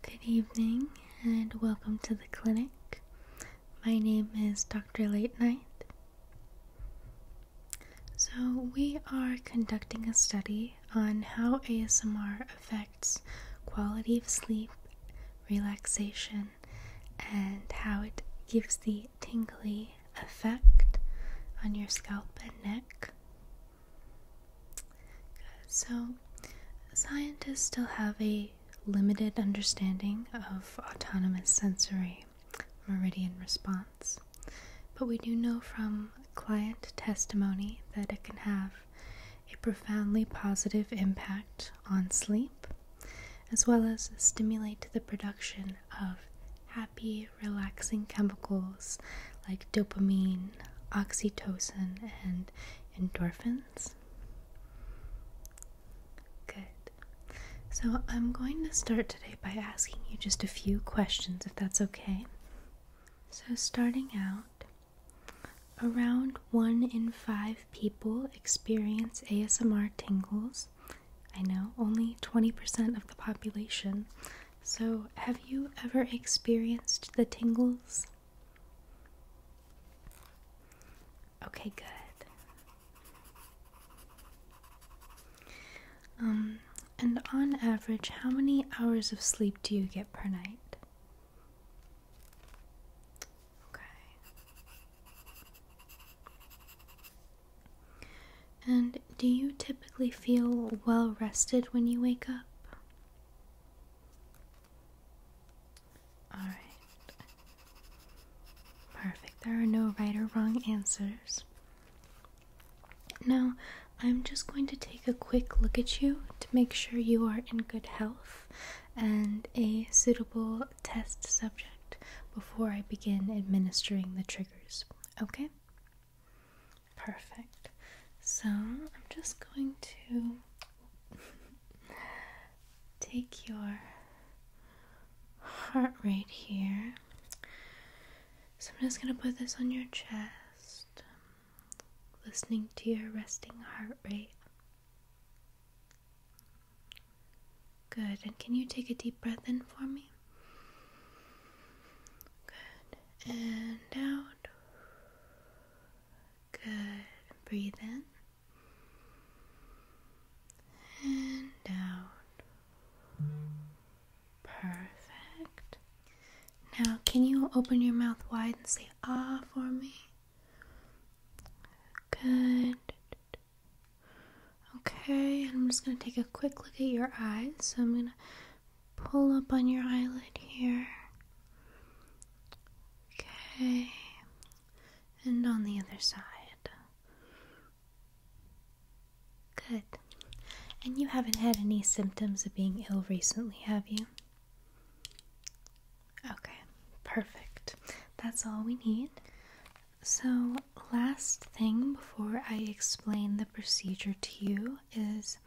Good evening and welcome to the clinic. My name is Dr. Late Night. So, we are conducting a study on how ASMR affects quality of sleep, relaxation, and how it gives the tingly effect on your scalp and neck. So, scientists still have a limited understanding of autonomous sensory meridian response, but we do know from client testimony that it can have a profoundly positive impact on sleep, as well as stimulate the production of happy, relaxing chemicals like dopamine, oxytocin, and endorphins? Good. So I'm going to start today by asking you just a few questions, if that's okay. So, starting out, around one in five people experience ASMR tingles. I know, only 20% of the population. So, have you ever experienced the tingles? Okay, good. Um, and on average, how many hours of sleep do you get per night? Okay. And do you typically feel well rested when you wake up? Alright. Perfect. There are no right or wrong answers. Now, I'm just going to take a quick look at you to make sure you are in good health and a suitable test subject before I begin administering the triggers. Okay? Perfect. So, I'm just going to Take your heart rate here. So I'm just going to put this on your chest, listening to your resting heart rate. Good. And can you take a deep breath in for me? Good. And out. Good. Breathe in and out. Perfect. Now, can you open your mouth wide and say ah for me? Good. Okay, I'm just going to take a quick look at your eyes. So I'm going to pull up on your eyelid here. Okay, and on the other side. Good. And you haven't had any symptoms of being ill recently, have you? Okay, perfect. That's all we need. So, last thing before I explain the procedure to you is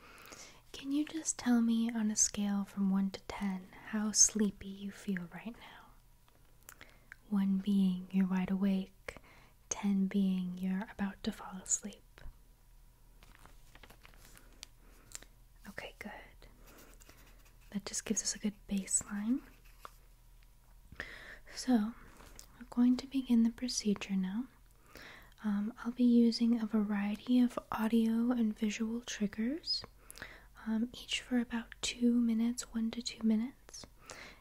can you just tell me on a scale from 1 to 10 how sleepy you feel right now? 1 being you're wide awake, 10 being you're about to fall asleep. Okay, good. That just gives us a good baseline. So, we're going to begin the procedure now. Um, I'll be using a variety of audio and visual triggers, um, each for about two minutes, one to two minutes,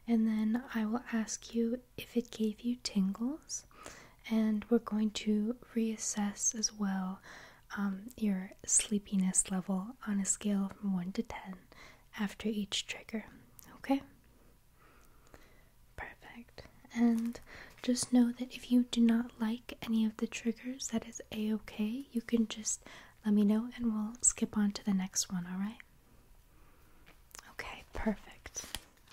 and then I will ask you if it gave you tingles, and we're going to reassess as well um, your sleepiness level on a scale from one to ten after each trigger. Okay? Perfect. And just know that if you do not like any of the triggers, that is a okay. You can just let me know and we'll skip on to the next one, alright? Okay, perfect.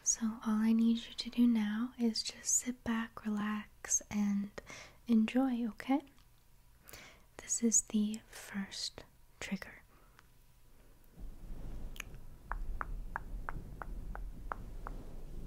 So, all I need you to do now is just sit back, relax, and enjoy, okay? This is the first trigger.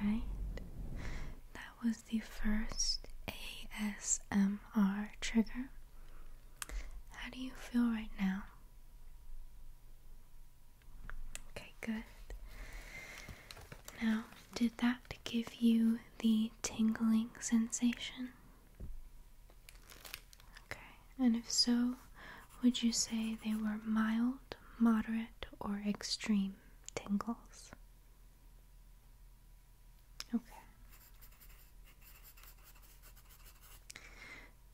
Alright, that was the first ASMR trigger. How do you feel right now? Okay, good. Now, did that give you the tingling sensation? Okay, and if so, would you say they were mild, moderate, or extreme tingles? Okay.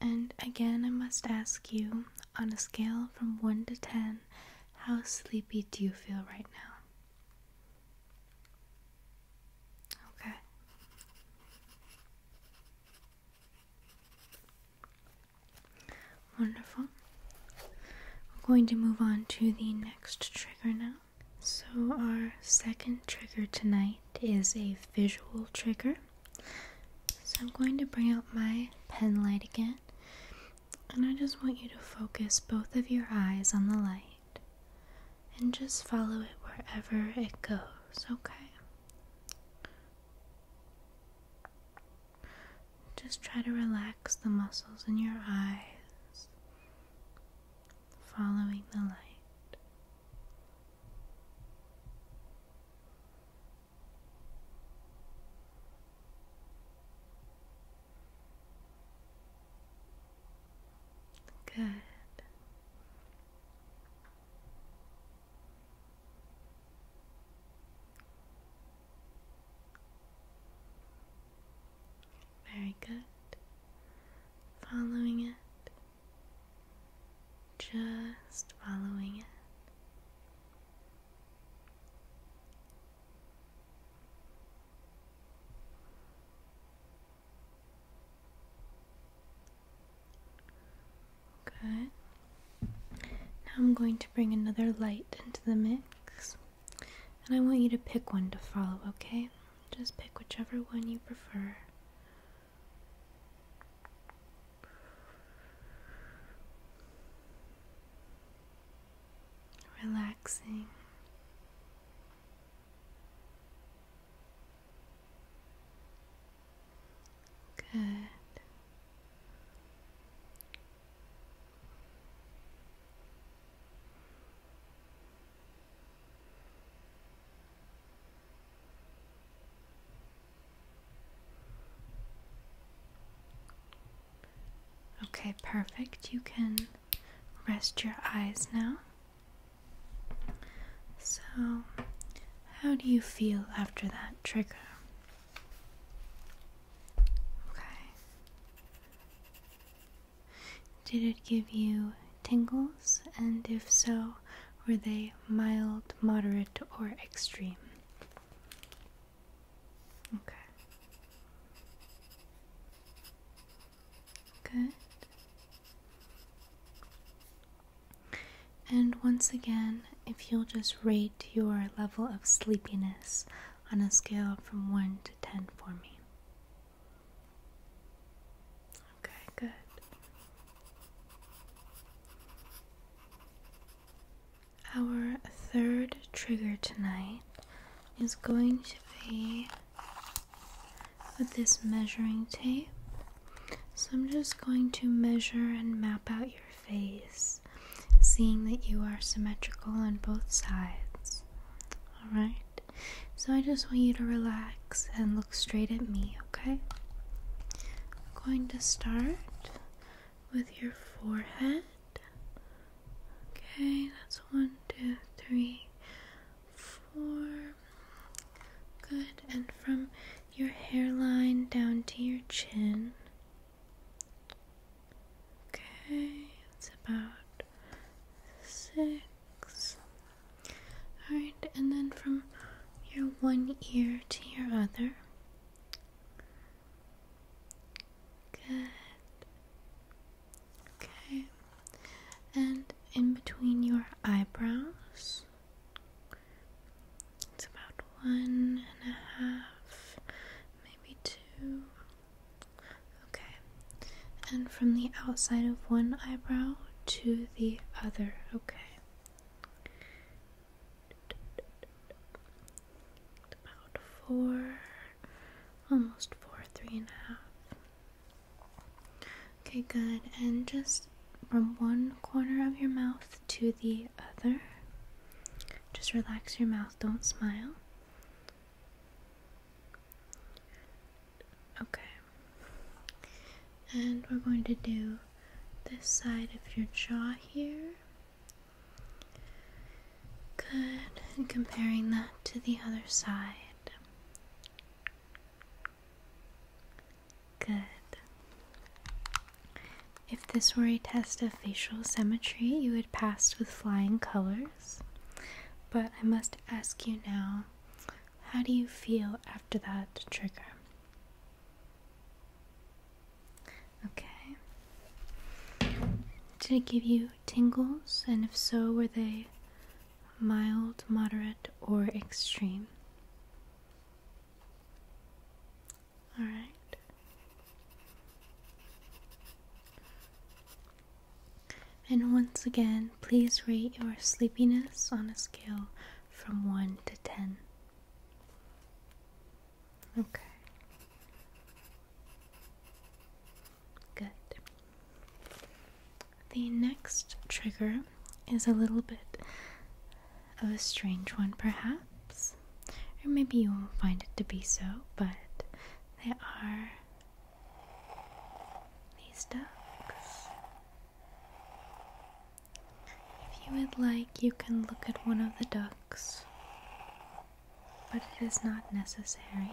And again, I must ask you on a scale from 1 to 10, how sleepy do you feel right now? Okay. Wonderful. We're going to move on to the next trigger now. So, our second trigger tonight is a visual trigger. So, I'm going to bring out my pen light again. And I just want you to focus both of your eyes on the light and just follow it wherever it goes, okay? Just try to relax the muscles in your eyes, following the light. Good. Very good. Following it. Just following it. Good. Now I'm going to bring another light into the mix, and I want you to pick one to follow, okay? Just pick whichever one you prefer relaxing. Good. Okay, perfect. You can rest your eyes now. So, how do you feel after that trigger? Okay. Did it give you tingles? And if so, were they mild, moderate, or extreme? Okay. Good. And once again, if you'll just rate your level of sleepiness on a scale from 1 to 10 for me. Okay, good. Our third trigger tonight is going to be with this measuring tape. So I'm just going to measure and map out your face, seeing that you are symmetrical on both sides. Alright? So I just want you to relax and look straight at me, okay? I'm going to start with your forehead. Okay, that's one, two, three, four. Good, and from your hairline down to your chin. Okay, it's about six. Alright, and then from your one ear to your other. Good. Okay. And in between your eyebrows, it's about one and a half, maybe two. Okay. And from the outside of one eyebrow to the other, okay about four, almost four, three and a half. Okay, good. And just from one corner of your mouth to the other, just relax your mouth, don't smile. Okay. And we're going to do this side of your jaw here. Good, and comparing that to the other side. Good. If this were a test of facial symmetry, you would pass with flying colors. But I must ask you now how do you feel after that trigger? Okay. Did it give you tingles? And if so, were they mild, moderate, or extreme? Alright. And once again, please rate your sleepiness on a scale from 1 to 10. Okay. Good. The next trigger is a little bit of a strange one, perhaps. Or maybe you won't find it to be so, but there are these ducks. If you would like, you can look at one of the ducks, but it is not necessary.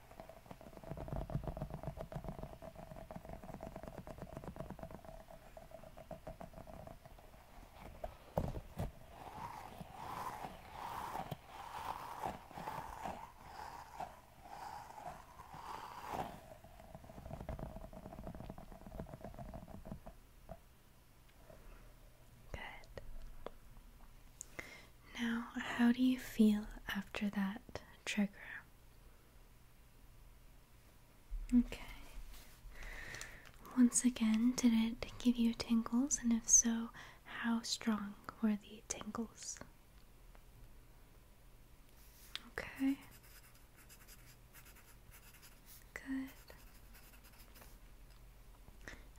Good. Now, how do you feel after that trigger? Okay. Once again, did it give you tingles? And if so, how strong were the tingles? Okay. Good.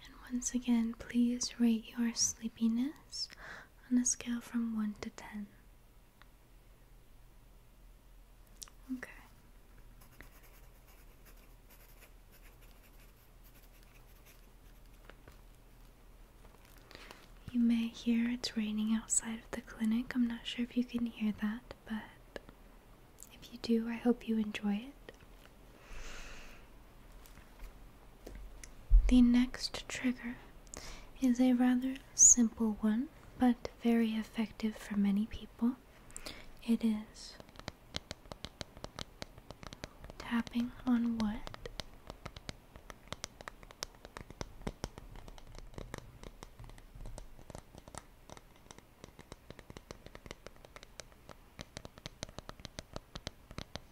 And once again, please rate your sleepiness on a scale from 1 to 10. Okay. You may hear it's raining outside of the clinic. I'm not sure if you can hear that, but if you do, I hope you enjoy it. The next trigger is a rather simple one, but very effective for many people. It is tapping on wood.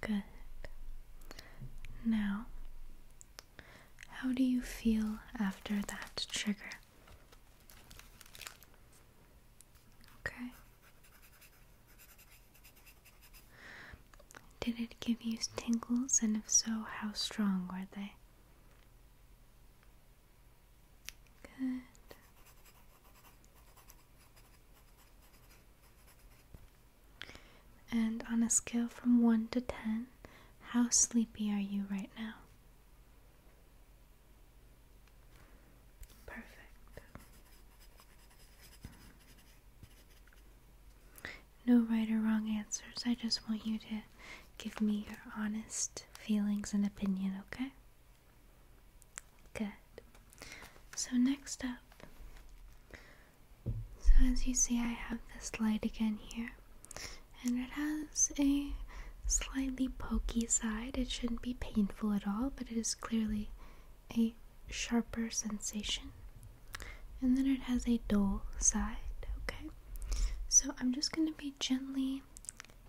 Good. Now, how do you feel after that trigger? Okay. Did it give you tingles, and if so, how strong were they? Good. And on a scale from 1 to 10, how sleepy are you right now? Perfect no right or wrong answers. I just want you to give me your honest feelings and opinion, okay? Good. So, next up, so as you see, I have this light again here, and it has a slightly pokey side. It shouldn't be painful at all, but it is clearly a sharper sensation and then it has a dull side okay so i'm just going to be gently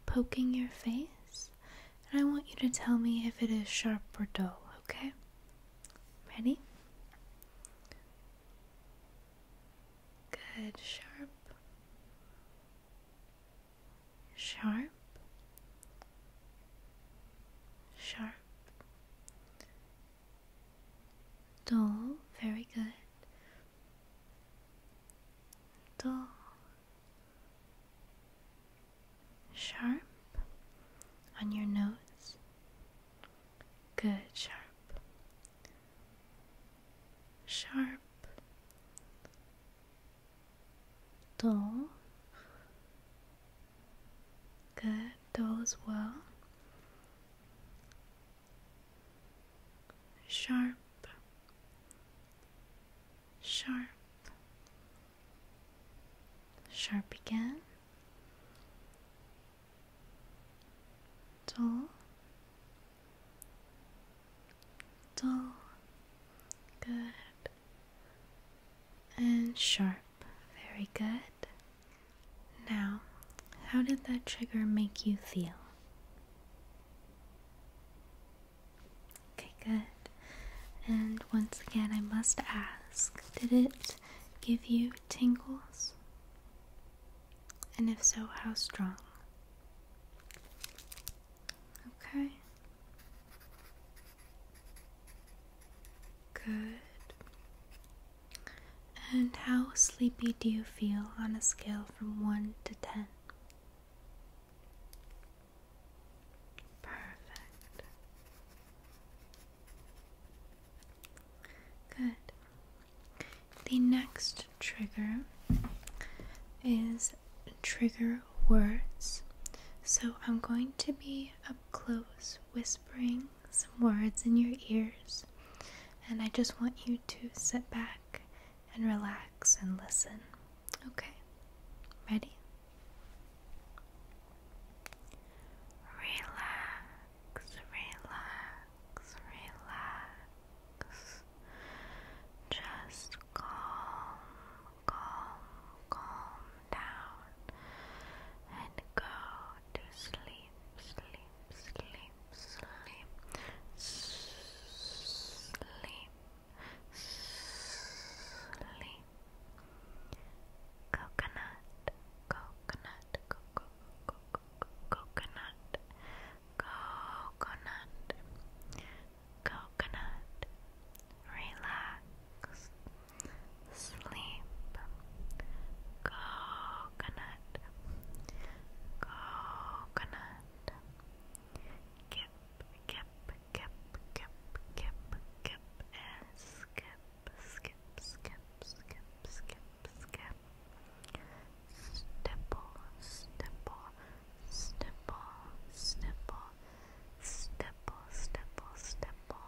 poking your face and i want you to tell me if it is sharp or dull okay ready good sharp sharp sharp Dull, very good. Dull. Sharp on your notes. Good, sharp. Sharp. Dull. Good those were sharp, sharp, sharp again, dull, dull, good, and sharp, very good. Now, how did that trigger make you feel? Okay, good. And once again, I must ask did it give you tingles? And if so, how strong? Okay. Good. And how sleepy do you feel on a scale from 1 to 10? Perfect. Good. The next trigger is trigger words. So I'm going to be up close whispering some words in your ears, and I just want you to sit back and relax and listen. Okay? Ready? Relax, relax, relax. Just calm, calm, calm down and go to sleep, sleep, sleep, sleep, sleep, sleep. Coconut, coconut, coco, coconut, coconut, coconut. Relax, sleep, coconut, coconut, kip, kip, kip, kip, kip, kip, and skip, skip, skip, skip, skip, skip, stipple, stipple, stipple, stipple, stipple, stipple, stipple.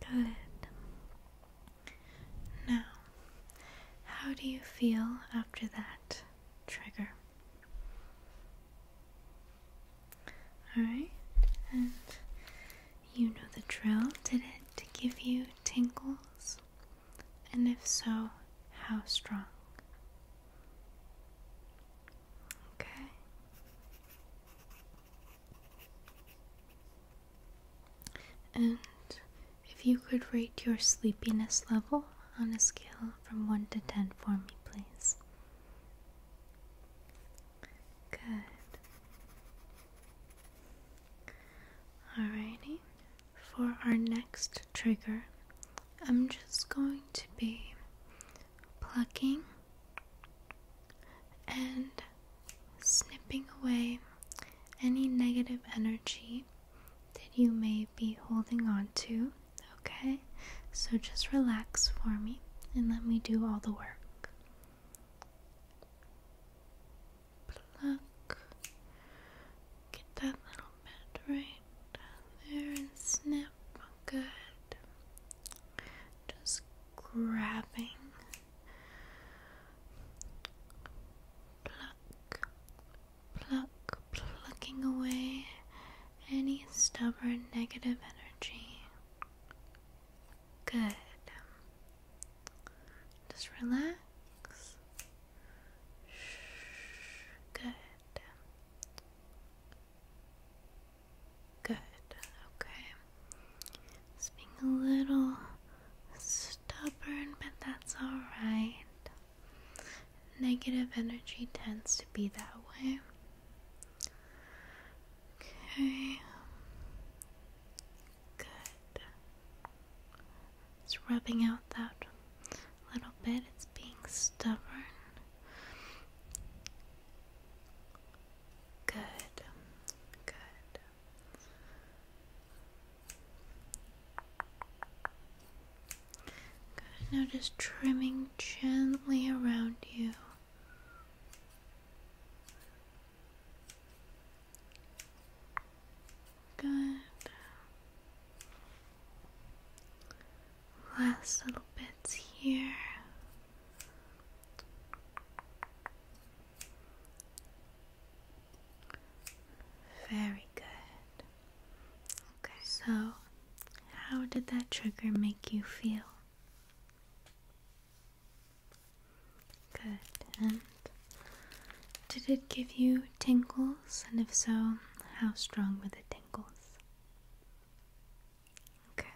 Good. Now, how do you feel after that trigger? Alright, and you know the drill. Did it to give you tingles? And if so, how strong? Okay. And if you could rate your sleepiness level on a scale from 1 to 10 for me, please. Good. Alrighty. For our next trigger, I'm just going to be plucking and snipping away any negative energy that you may be holding on to. Okay, so just relax for me and let me do all the work. Pluck, get that little bit right down there and snip good. Just grabbing. Pluck, pluck, plucking away any stubborn negative energy. Good. Just relax. Good. Good, okay. being a little stubborn, but that's alright. Negative energy tends to be that way. Okay. Good. It's rubbing out that little bit. It's being stubborn. Good. Good. Good. Now just trimming gently around you. Good last little bits here. Very good. Okay, so how did that trigger make you feel? Good. And did it give you tingles? And if so, how strong were the tingles? Okay.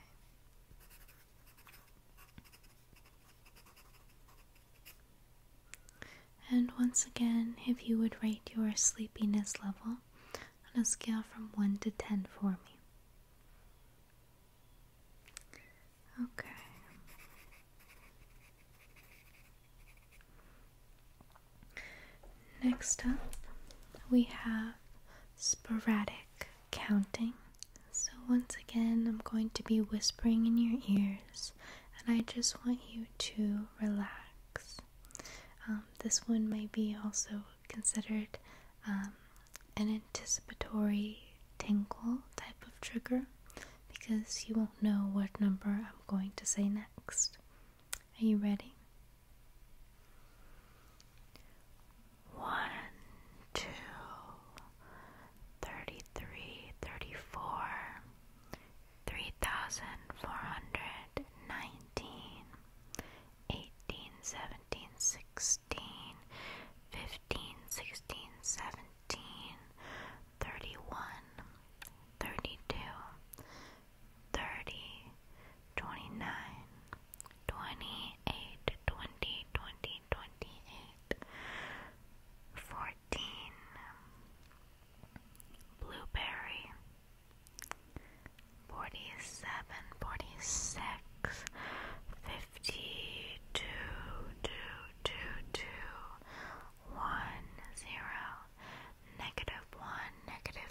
And once again, if you would rate your sleepiness level on a scale from 1 to 10 for me. Okay. Next up, we have sporadic counting. So, once again, I'm going to be whispering in your ears, and I just want you to relax. Um, this one might be also considered um, an anticipatory tingle type of trigger because you won't know what number I'm going to say next. Are you ready? One, two, thirty-three, thirty-four, three thousand four hundred nineteen, eighteen, seventeen, sixteen, fifteen, sixteen, seventeen, thirty-one, thirty-two, thirty, twenty nine, twenty eight, twenty, twenty, twenty eight, fourteen, blueberry, forty seven, forty six, fifty two, two, two, two, one, zero, negative one, negative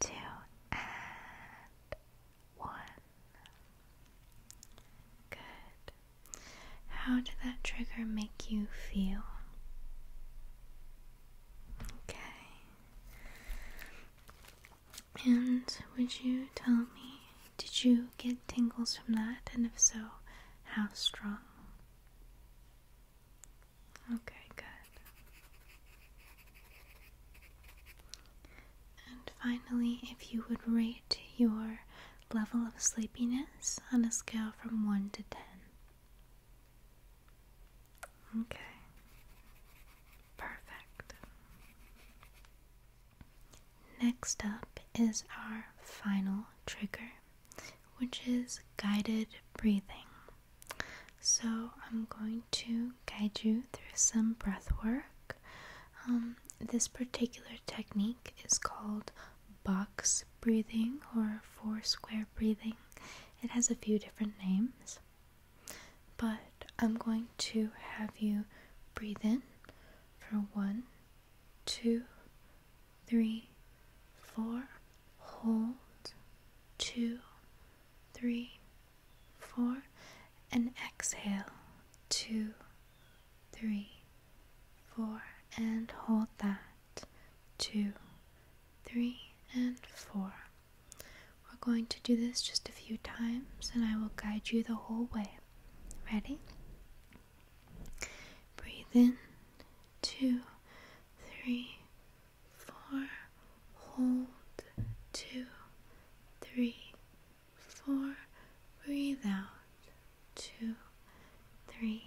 two, and one. Good. How did that trigger make you feel? Okay. And would you tell me, did you get tingles from that? And if so, how strong? Okay, good. And finally, if you would rate your level of sleepiness on a scale from 1 to 10. Okay. Perfect. Next up is our final trigger which is guided breathing. So, I'm going to guide you through some breath work. Um, this particular technique is called box breathing or four square breathing. It has a few different names, but I'm going to have you breathe in for one, two, three, four, hold, two, three, four, and exhale, two, three, four, and hold that, two, three, and four. We're going to do this just a few times, and I will guide you the whole way. Ready? Breathe in, two, three, four, hold, two, three, four, breathe out, two, three,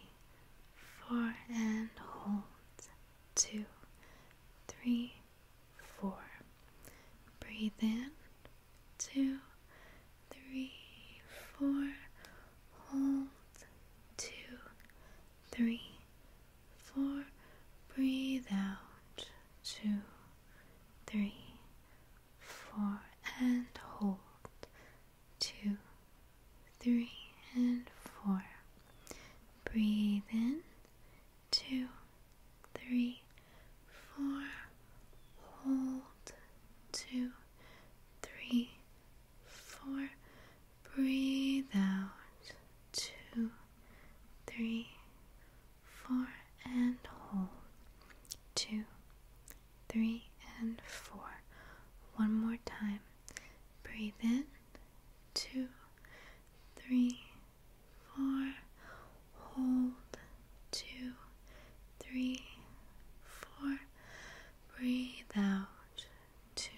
four, and hold, two, three, four. Breathe in, two, three, four, hold, two, three, four. Breathe out, two, three, four, and hold, two, three, and four. Breathe in, two, three, four, hold, two, three, four. Breathe out. Two, three, four, and hold. Two, three, and four. One more time. Breathe in. Two, three, four. Hold. Two, three, four. Breathe out two,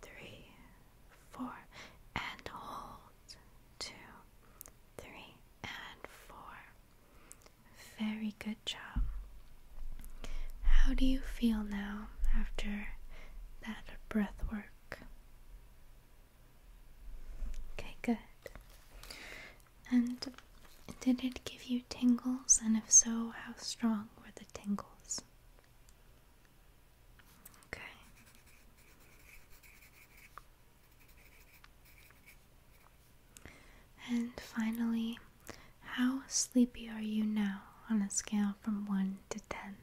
three, four, and hold, two, three, and four. Very good job. How do you feel now after that breath work? Okay, good. And did it give you tingles? And if so, how strong were the tingles? Okay. And finally, how sleepy are you now on a scale from 1 to 10?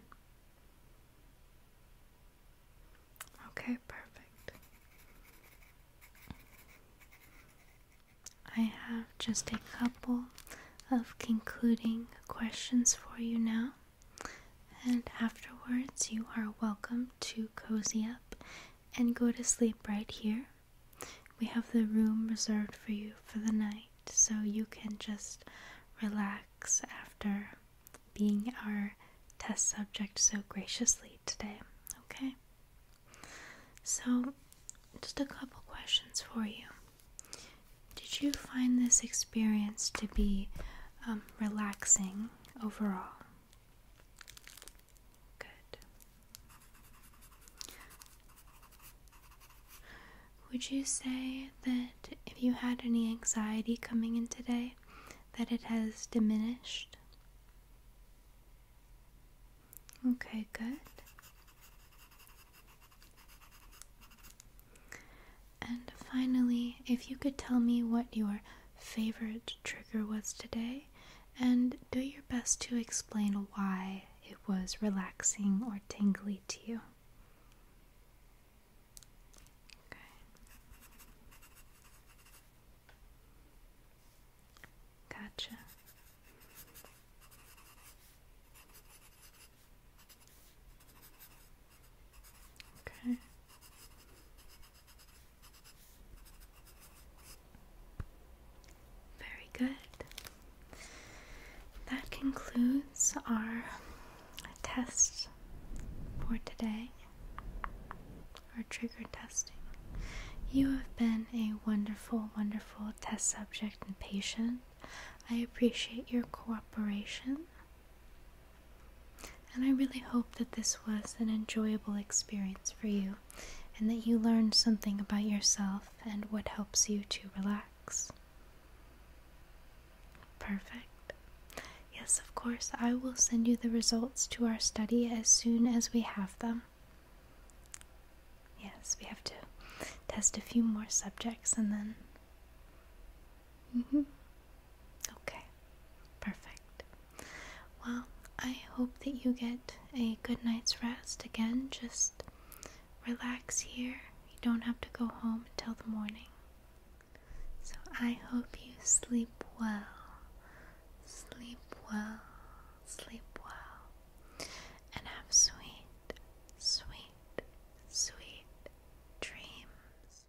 Okay, perfect. I have just a couple of concluding questions for you now, and afterwards, you are welcome to cozy up and go to sleep right here. We have the room reserved for you for the night, so you can just relax after being our test subject so graciously today, okay? So, just a couple questions for you. Did you find this experience to be um, relaxing overall? Good. Would you say that if you had any anxiety coming in today, that it has diminished? Okay, good. And finally, if you could tell me what your favorite trigger was today, and do your best to explain why it was relaxing or tingly to you. Okay. Gotcha. Okay. Very good. That concludes our test for today, our trigger testing. You have been a wonderful, wonderful test subject and patient. I appreciate your cooperation. And I really hope that this was an enjoyable experience for you and that you learned something about yourself and what helps you to relax. Perfect. Yes, of course, I will send you the results to our study as soon as we have them. Yes, we have to test a few more subjects and then. Mm-hmm. Okay, perfect. Well, I hope that you get a good night's rest. Again, just relax here. You don't have to go home until the morning. So I hope you sleep well. Sleep well. Sleep well. And have sweet, sweet, sweet dreams.